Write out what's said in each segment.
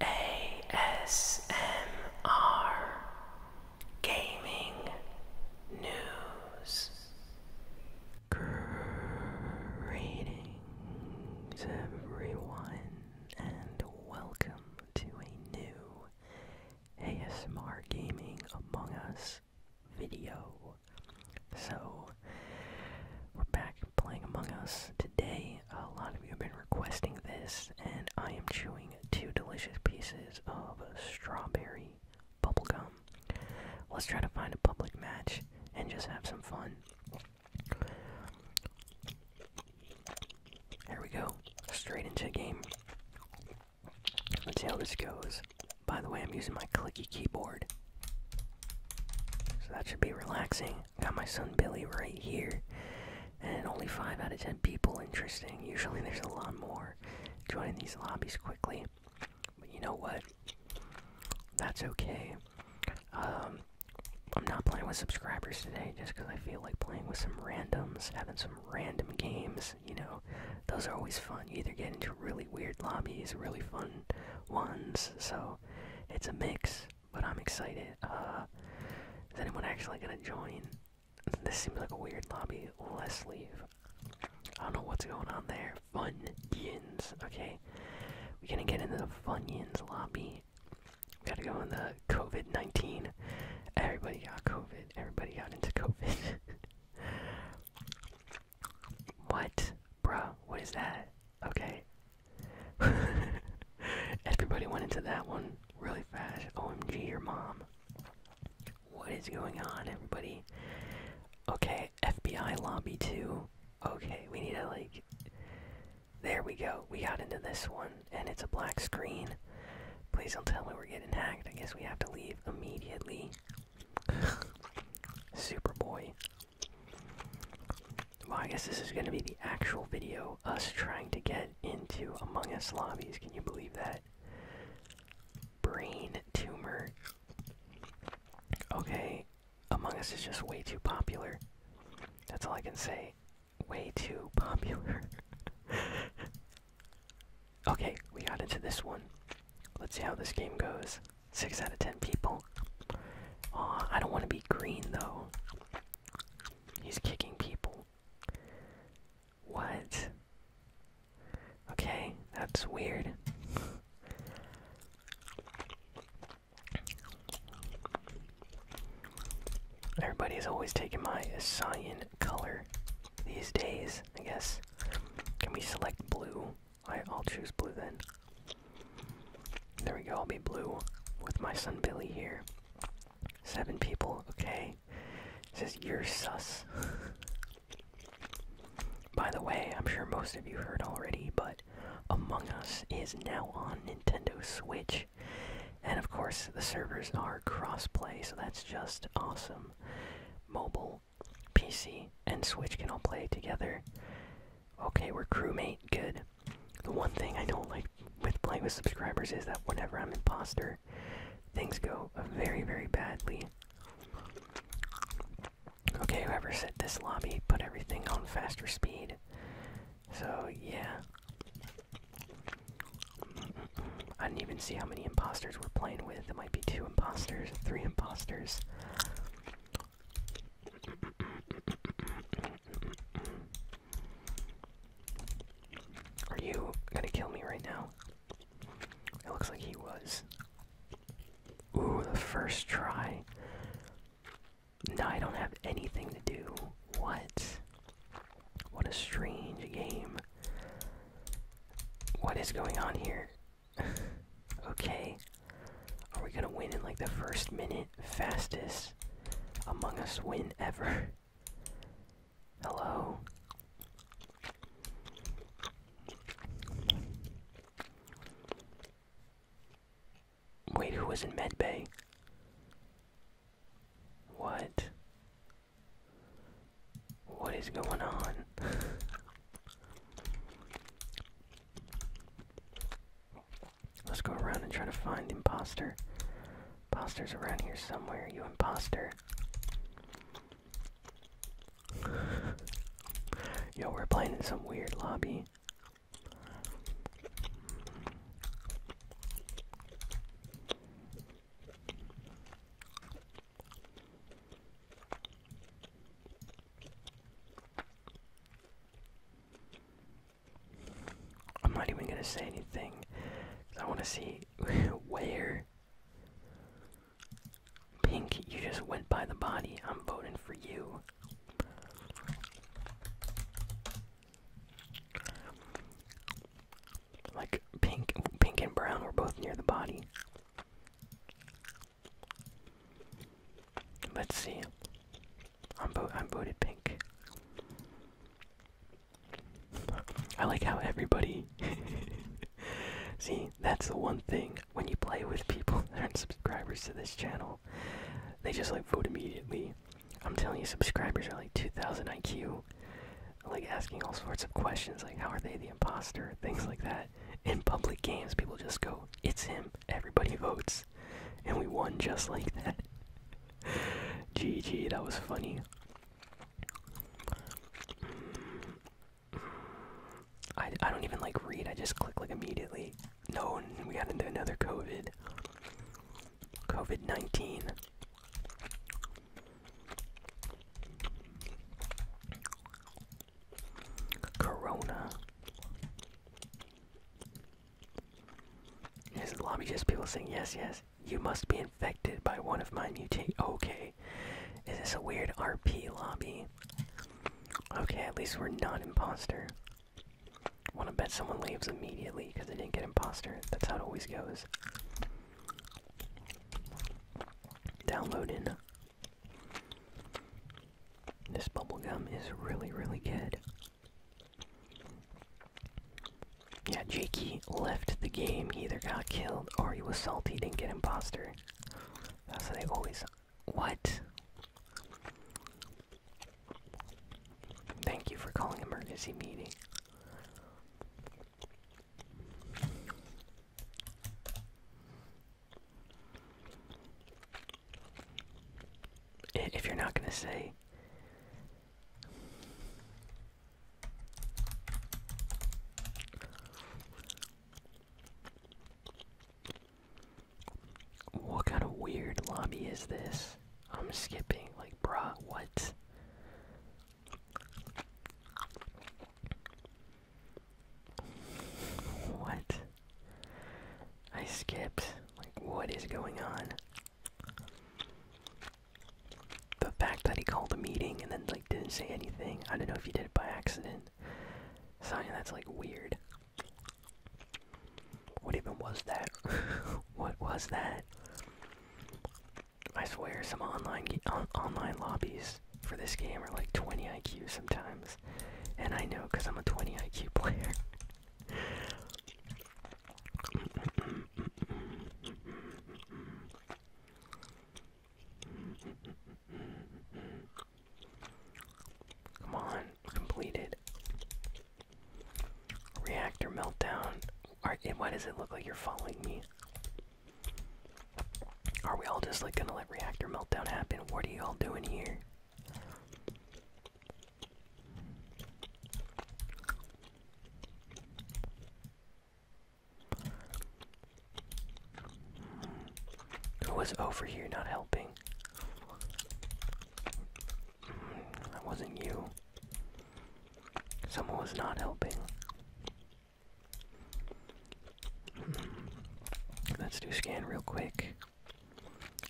ASMR Gaming News Greetings everyone and welcome to a new ASMR Gaming Among Us video. So, we're back playing Among Us today. A lot of you have been requesting this, and I am chewing two delicious pieces of strawberry bubble gum. Let's try to find a public match and just have some fun. Here we go, straight into the game. Let's see how this goes. By the way, I'm using my clicky keyboard. So that should be relaxing. Got my son Billy right here. And only 5 out of 10 people interesting. Usually there's a lot more joining these lobbies quickly. But you know what? That's okay. Um, I'm not playing with subscribers today just because I feel like playing with some randoms, having some random games. You know, those are always fun. You either get into really weird lobbies, really fun ones. So it's a mix but I'm excited. Uh, is anyone actually gonna join? This seems like a weird lobby. Let's leave. I don't know what's going on there. Funyuns, okay. We're gonna get into the Funyuns lobby. We gotta go in the COVID 19. Everybody got COVID. Everybody got into COVID. what? Bruh, what is that? Okay. Everybody went into that one really fast. OMG, your mom. What is going on, everybody? Okay, FBI lobby 2. Okay, we need to, like. There we go. We got into this one, and it's a black screen. Please don't tell me we're getting hacked. I guess we have to leave immediately. Superboy. Well, I guess this is going to be the actual video, us trying to get into Among Us lobbies. Can you believe that? Brain tumor. Okay, Among Us is just way too popular. That's all I can say. Way too popular. okay, we got into this one. Let's see how this game goes. 6 out of 10 people. I don't want to be green though. He's kicking people. What? Okay, that's weird. Everybody is always taking my cyan color these days, I guess. Can we select blue? I'll choose blue then. There we go, I'll be blue with my son Billy here. Seven people, okay. It says you're sus. By the way, I'm sure most of you heard already, but Among Us is now on Nintendo Switch. And of course, the servers are cross-play, so that's just awesome. Mobile, PC, and Switch can all play together. Okay, we're crewmate. Good. The one thing I don't like with playing with subscribers is that whenever I'm imposter, things go very, very badly. Okay, whoever set this lobby put everything on faster speed. So, yeah. I didn't even see how many imposters we're playing with. It might be two imposters, three imposters. Are you gonna kill me right now? It looks like he was. Ooh, the first try. Now I don't have anything to do. What? What a strange game. What is going on here? okay. Are we gonna win in like the first minute? Fastest Among Us win ever. Hello? Wait, who was in medbay? What? What is going on? Let's go around and try to find the imposter. Imposter's around here somewhere, you impostor. Yo, we're playing in some weird lobby. I'm not even gonna say anything because I want to see where. Pink, you just went by the body. I'm voting for you. Like pink, pink and brown were both near the body. Let's see. I'm bo I'm voted pink. I like how everybody See, that's the one thing when you play with people that aren't subscribers to this channel. They just like vote immediately. I'm telling you subscribers are like 2000 IQ. Like asking all sorts of questions like how are they the imposter? Things like that. In public games people just go, it's him. Everybody votes and we won just like that. GG, that was funny. I, I don't even like read, I just click like immediately. No, we got into another COVID. COVID 19. Corona. Is the lobby just people saying yes, yes? You must be infected by one of my mutate. Okay. Is this a weird RP lobby? Okay, at least we're not imposter. Wanna bet someone leaves immediately because they didn't get imposter. That's how it always goes. Downloading. This bubblegum is really, really good. Yeah, Jakey left the game. either got killed or he was salty, didn't get imposter. That's how they always. What? Thank you for calling emergency meeting. If you're not going to say. What kind of weird lobby is this? I'm skipping. Like, bruh, what? What? I skipped. Like, what is going on? The fact that he called a meeting and then, like, didn't say anything. I don't know if he did it by accident. Sign, that's, like, weird. What even was that? what was that? I swear, some online online lobbies for this game are like 20 IQ sometimes. And I know because I'm a 20 IQ player. Come on, completed. Reactor meltdown. why does it look like you're following me? Are we all just like gonna let reactor meltdown happen? What are you all doing here? Who was over here not helping? That wasn't you. Someone was not helping. Let's do scan real quick.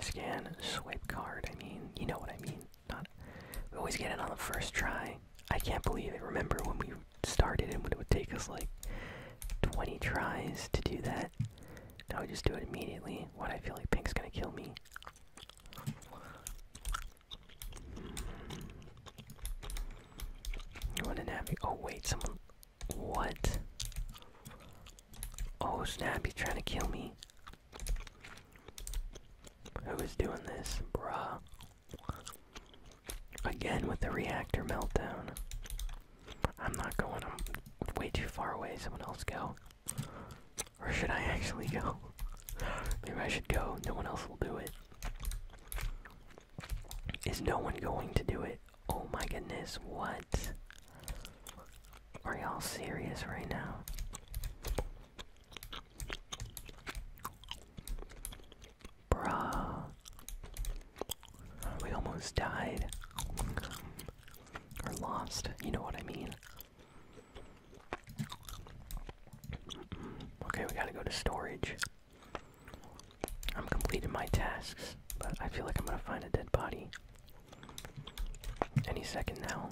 Scan, swipe card. I mean, you know what I mean. Not, we always get it on the first try. I can't believe it. Remember when we started and it would take us like 20 tries to do that? Now we just do it immediately. What I feel like Pink's gonna kill me. You wanna navigate? Oh wait, someone what? Oh snap, he's trying to kill me. Who is doing this, bruh? Again with the reactor meltdown. I'm not going, I'm way too far away. Someone else go. Or should I actually go? Maybe I should go, no one else will do it. Is no one going to do it? Oh my goodness, what? Are y'all serious right now? Bruh. We almost died. Or lost, you know what I mean. Okay, we gotta go to storage. I'm completing my tasks, but I feel like I'm gonna find a dead body any second now.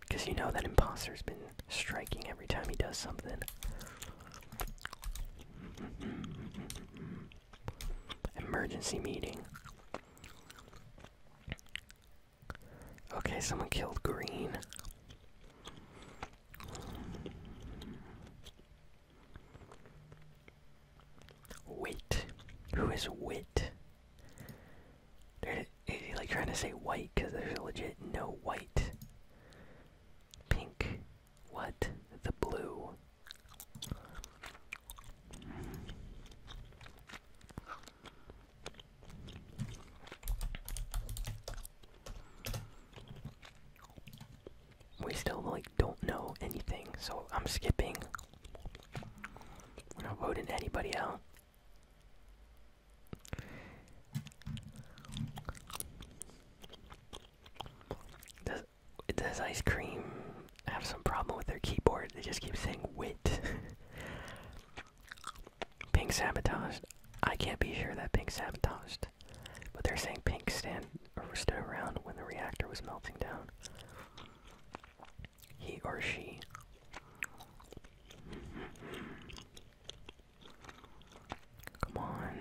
Because you know that imposter's been striking every time he does something. Emergency meeting. Okay, someone killed Green. Wit. Who is Whit? Is he like trying to say white? Because there's legit no white. Pink. What? The blue we still like don't know anything, so I'm skipping. I'm not voting anybody out. Does does ice cream have some problem with their keyboard? They just keep saying wit. pink sabotaged. I can't be sure that pink sabotaged. But they're saying pink stand or stood around when the reactor was melting down. He or she. Come on.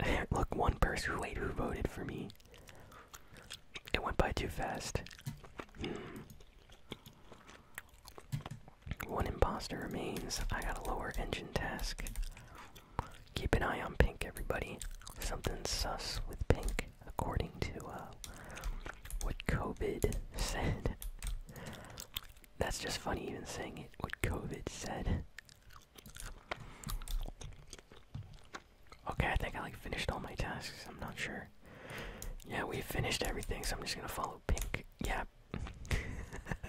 Look, one person. Wait, who voted for me? It went by too fast. One imposter remains. I got a lower engine task. Keep an eye on pink, everybody. Something sus with pink, according to uh, what COVID said. That's just funny, even saying it, what COVID said. Okay, I think I like finished all my tasks. I'm not sure. Yeah, we finished everything, so I'm just gonna follow pink. Yeah.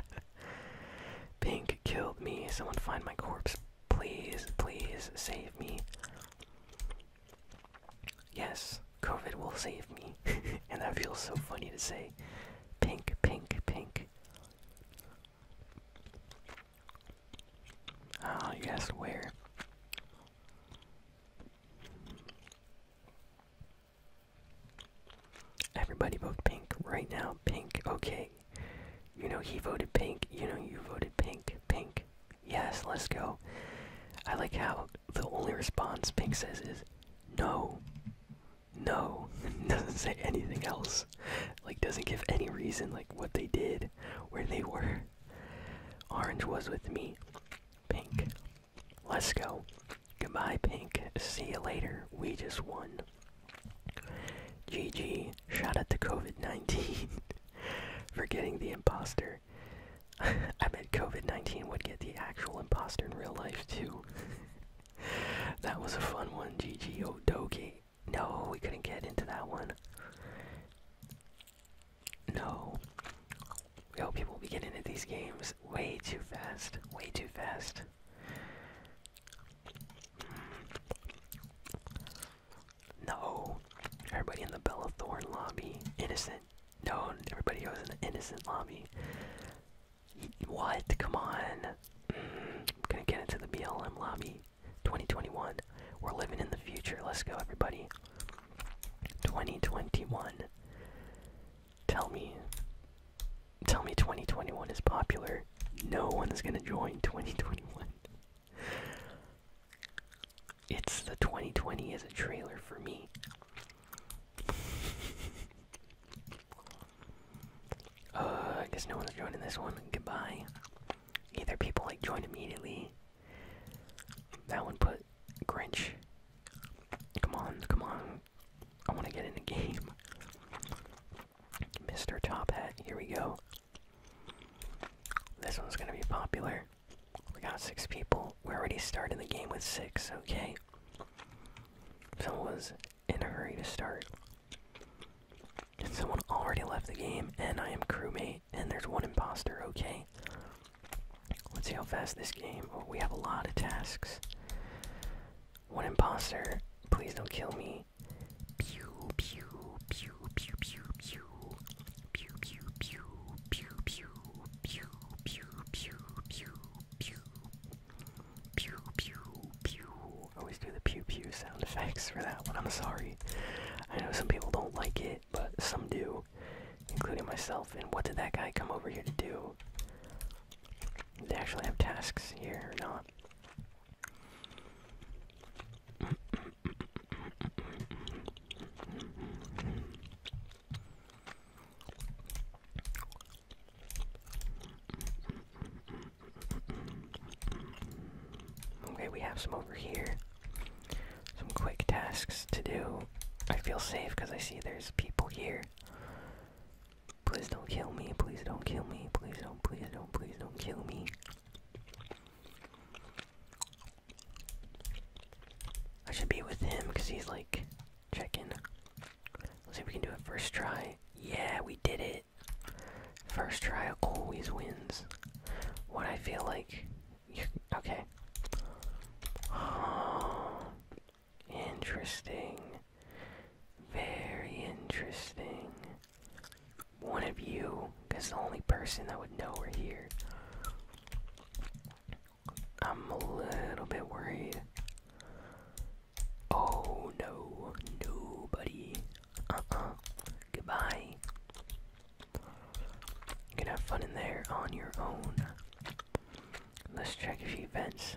pink killed me. Someone find my corpse. Please, please save me. Yes, COVID will save me. and that feels so funny to say. Pink, pink, pink. oh, ah, you where. Everybody vote pink right now. Pink, okay. You know, he voted pink. You know, you voted pink. Pink. Yes, let's go. I like how the only response pink says is no. No. doesn't say anything else. Like, doesn't give any reason, like, what they did, where they were. Orange was with me. Pink. Let's go. Goodbye, Pink. See you later. We just won. GG, shot at the COVID 19 forgetting the imposter. I bet COVID 19 would get the actual imposter in real life too. that was a fun one, GG oh Odoki. No, we couldn't get into that one. No. We hope people will be getting into these games way too fast. Way too fast. No. Everybody in the Bella Bellathorn lobby. Innocent. No, everybody goes in the innocent lobby. What? Come on. I'm mm, gonna get into the BLM lobby. 2021. We're living in the future. Let's go, everybody. 2021. Tell me tell me 2021 is popular. No one's gonna join 2021. It's the 2020 as a trailer for me. uh, I guess no one's joining this one. Goodbye. Either people like join immediately. That one put Grinch. Come on, come on. I want to get in the game. Mr. Top Hat, here we go. This one's gonna be popular. We got six people. We're already starting the game with six, okay? Someone was in a hurry to start. someone already left the game, and I am crewmate, and there's one imposter, okay? Let's see how fast this game. Oh, we have a lot of tasks. One imposter. Please don't kill me. Pew pew pew pew pew pew pew pew pew pew pew pew pew pew pew pew pew pew pew. Always do the pew pew sound effects for that one. I'm sorry. I know some people don't like it, but some do, including myself. And what did that guy come over here to do? Did they actually have tasks here or not? Okay, we have some over here. Some quick tasks to do. I feel safe because I see there's people here. Please don't kill me, please don't kill me, please don't, please don't, please don't kill me. I should be with him because he's like checking. Let's see if we can do it first try. Yeah, we did it. First try always wins. What I feel like. okay. interesting. Very interesting. One of you, because the only person that would know we're here. I'm a little bit worried. Oh no, nobody. Uh uh. Goodbye. You can have fun in there on your own. Let's check a few vents.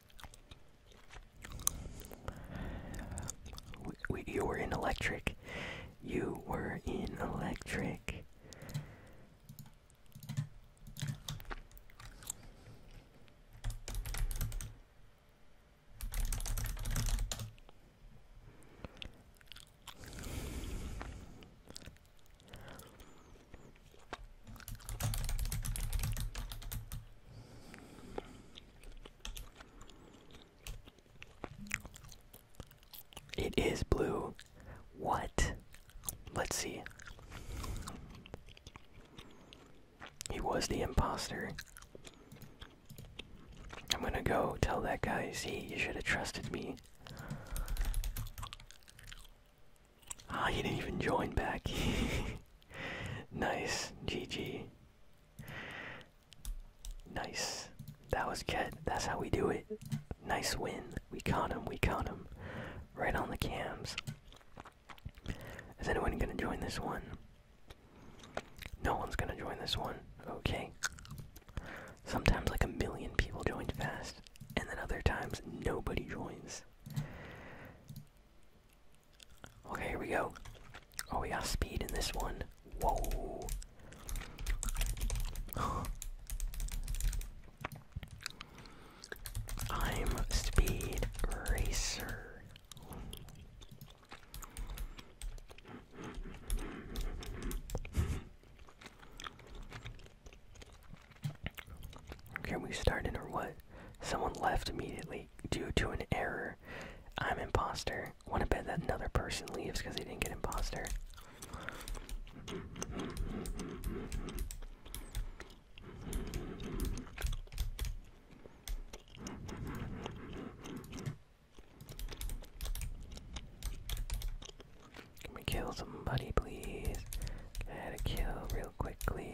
you were in electric. You were in electric. It is blue. What? Let's see. He was the impostor. I'm gonna go tell that guy, see, you should have trusted me. Ah, he didn't even join back. nice, GG. Nice. That was good. That's how we do it. Nice win. We caught him. We caught him. Right on the cams. Is anyone gonna join this one? No one's gonna join this one. Okay. Sometimes like a million people join fast, and then other times nobody joins. Okay, here we go. Oh, we got speed in this one. Whoa. I'm Speed Racer. Can we start it or what? Someone left immediately due to an error. I'm imposter. Wanna bet that another person leaves because they didn't get imposter. Can we kill somebody, please? Gotta kill real quickly.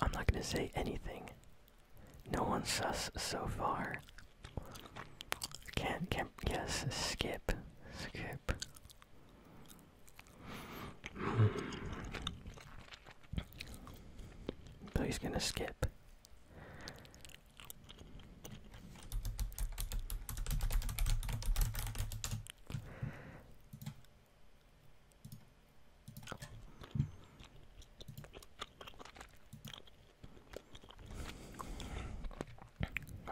I'm not going to say anything. No one sus so far. Can't, can't, yes, skip. Skip ship. Hmm. So he's gonna skip.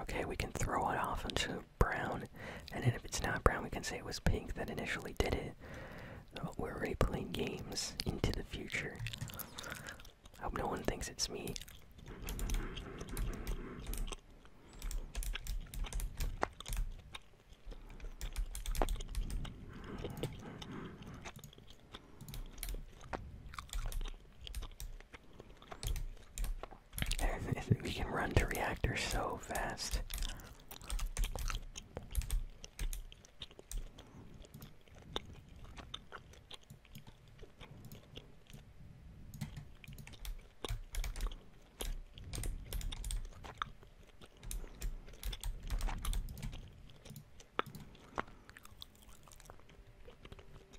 Okay, we can throw it off into brown, and then if it's not brown, we can say it was pink that initially did it. we're replaying games into the future. hope no one thinks it's me we can run to reactor so fast.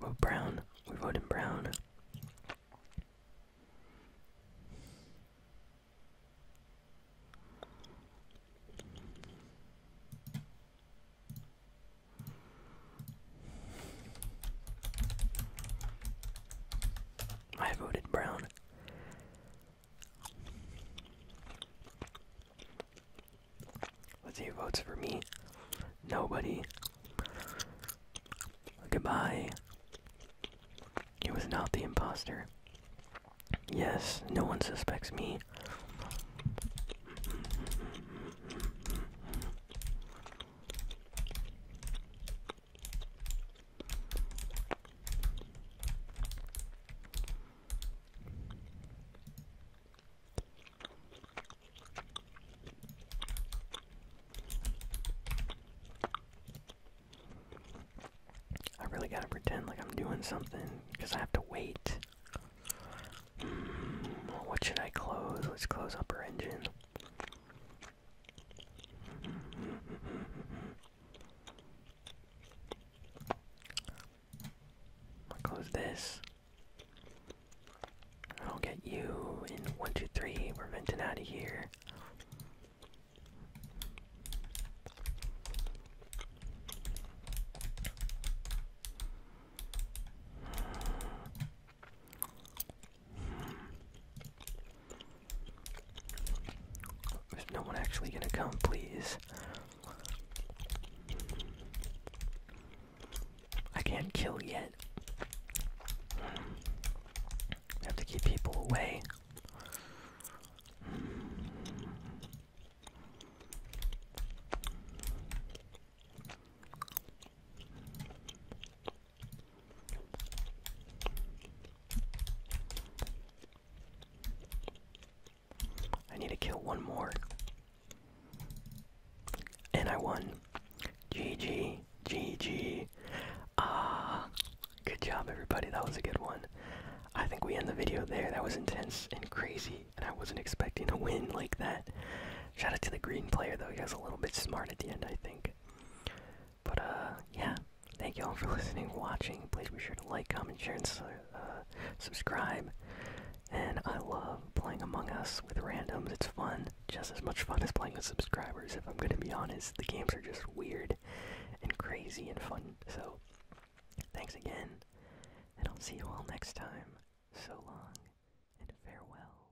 Vote Brown. We vote in Brown. I voted brown. Let's votes for me. Nobody. Goodbye. It was not the impostor. Yes, no one suspects me. I really gotta pretend like I'm doing something because I have to wait. Hmm, what should I close? Let's close upper engine i close this. I'll get you in one, two, three. We're venting out of here. There's no one actually gonna come, please. I can't kill yet. I have to keep people away. I need to kill one more. And I won. GG. GG. Ah. good job, everybody. That was a good one. I think we end the video there. That was intense and crazy, and I wasn't expecting a win like that. Shout out to the green player, though. He was a little bit smart at the end, I think. But uh, yeah, thank you all for listening, watching. Please be sure to like, comment, share, and uh, subscribe. And I love playing Among Us with randoms. It's fun, just as much fun as playing with subscribers. If I'm gonna be honest, the games are just weird and crazy and fun. So, thanks again, and I'll see you all next time. So long and farewell.